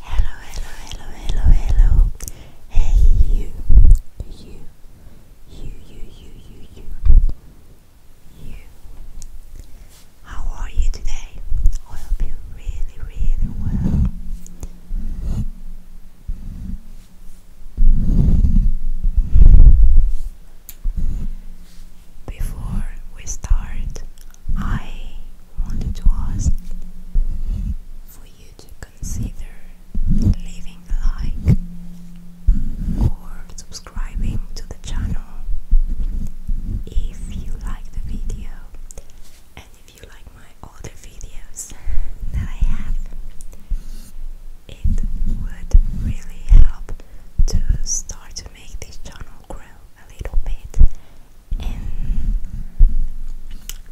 Hello, hello, hello, hello, hello. Hey, you, you, you, you, you, you, you, How are you today? I hope you really, really well. Before we start, I wanted to ask for you to consider leaving a like or subscribing to the channel if you like the video and if you like my other videos that I have. It would really help to start to make this channel grow a little bit and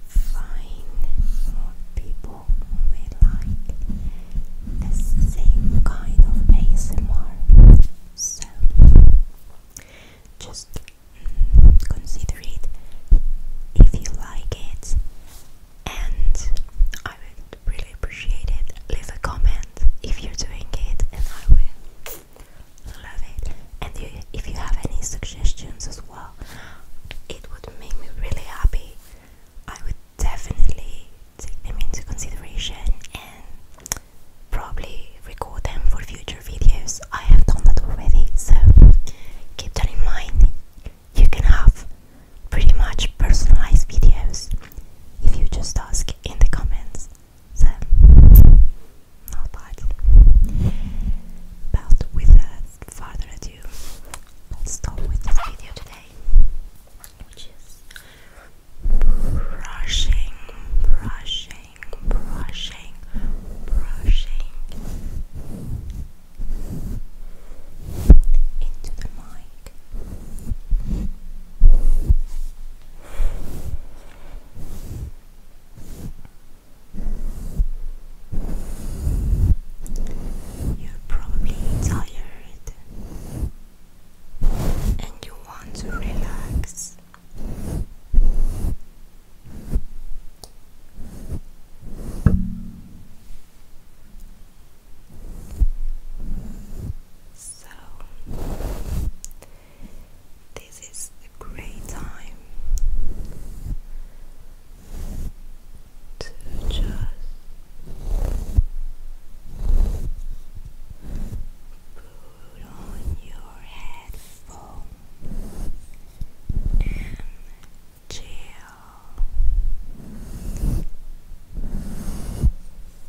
find more people who may like the same kind of ASMR. So just consider it if you like it, and I would really appreciate it. Leave a comment if you're doing it, and I will Love it. And you, if you have any suggestions as well, it would make me really happy. I would definitely take them into consideration and probably record them for future videos. I have done that already, so keep that in mind. You can have pretty much personalized videos if you just ask in the comments. So, not bad. But without further ado, let's start with this video today, which is brushing, brushing, brushing, brushing into the mic. You're probably tired and you want to relax. So this is a great time to just put on your headphones and chill.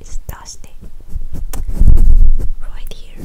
It's dusty right here.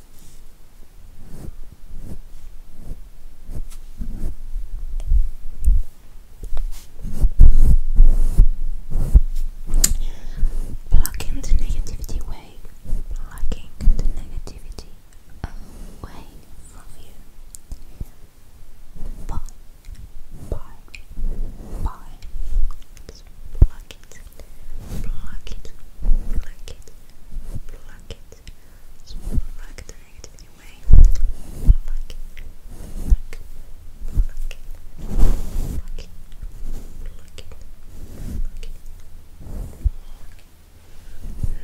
Plucking the negativity away, plucking the negativity away from you. Bye, bye, bye, it, pluck it, pluck it, pluck it, pluck it, pluck the negativity away, pluck, pluck, pluck it, pluck it, pluck it, pluck it,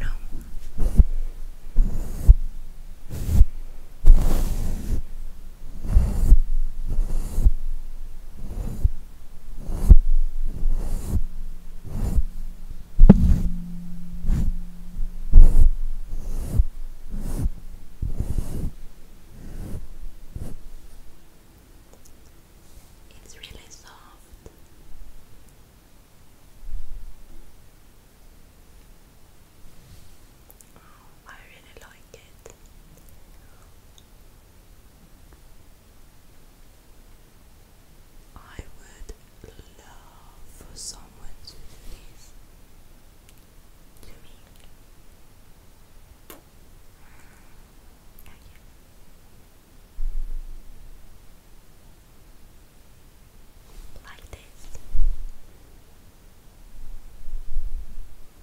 no. No. It's really soft. Oh, I really like it. I would love for someone to do me. Like this.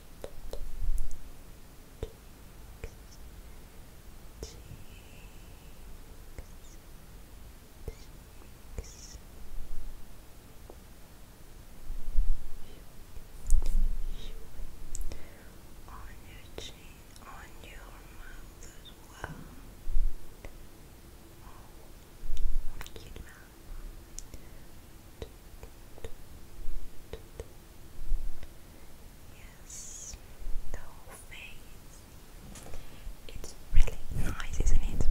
cheeks, cheeks. On your chin, on your mouth as well. Yes, the whole face. It's really nice, isn't it?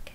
Okay.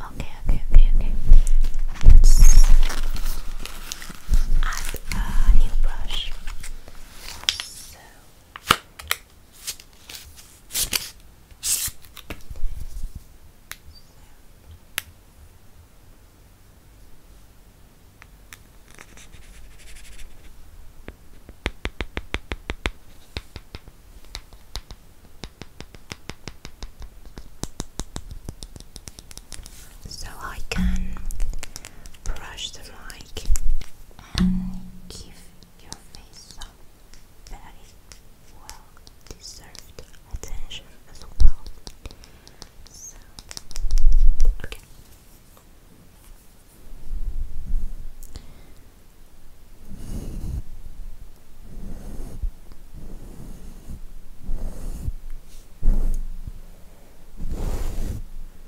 Okay, okay, okay, okay. Let's add a new brush. So I can brush the mic and give your face some very well deserved attention as well. So, Okay.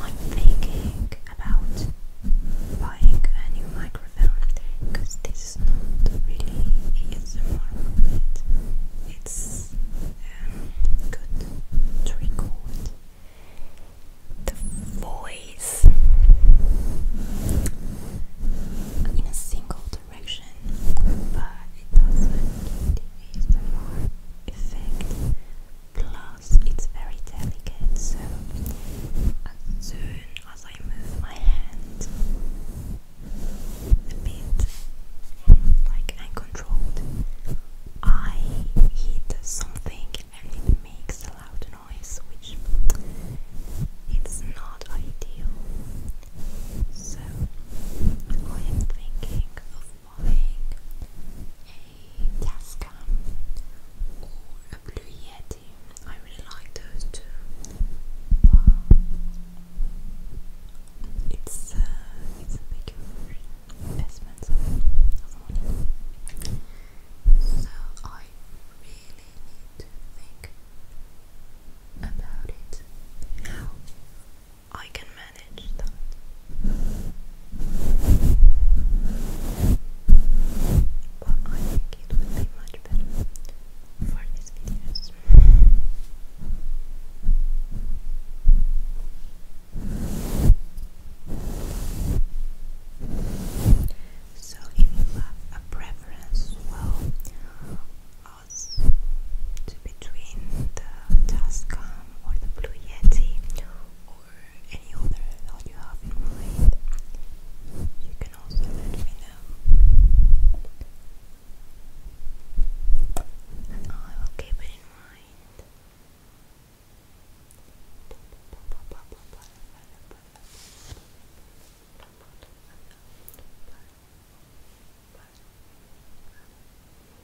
I'm thinking about buying a new microphone because this is not really ASMR but it's um, good to record the voice in a single direction but it doesn't give the ASMR effect plus it's very delicate. So as soon as I move my hand a bit, like uncontrolled, I hit something and it makes a loud noise, which it's not ideal. So I am thinking of buying a gas or a blue yeti. I really like those two. Wow. It's uh, it's a big investment of, of money. So I really need to think about it. How I can manage that. But I think it would be much better for these videos. So, if you have a preference, well, us between the Tascam or the Blue Yeti, any other thought you have in mind, you can also let me know. I will keep it in mind.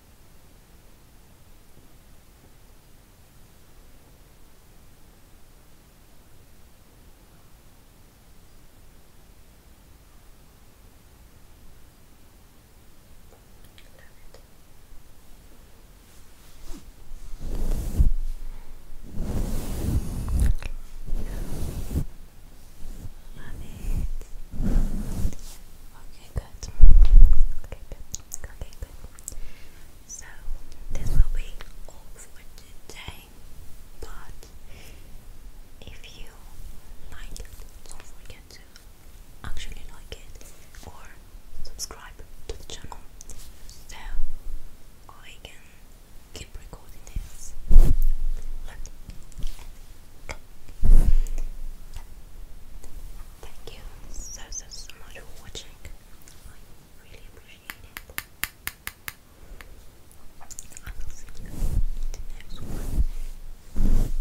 Love it. Okay, Okay, good. Okay, good. So, this will be all for today. But if you like it, don't forget to actually like it or subscribe to the channel so I can keep recording this. Look. Thank you so so so much for watching. really appreciate it. I will see you in the next one.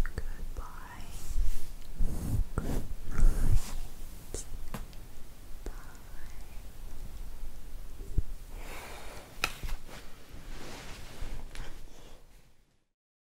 Goodbye. Good Bye.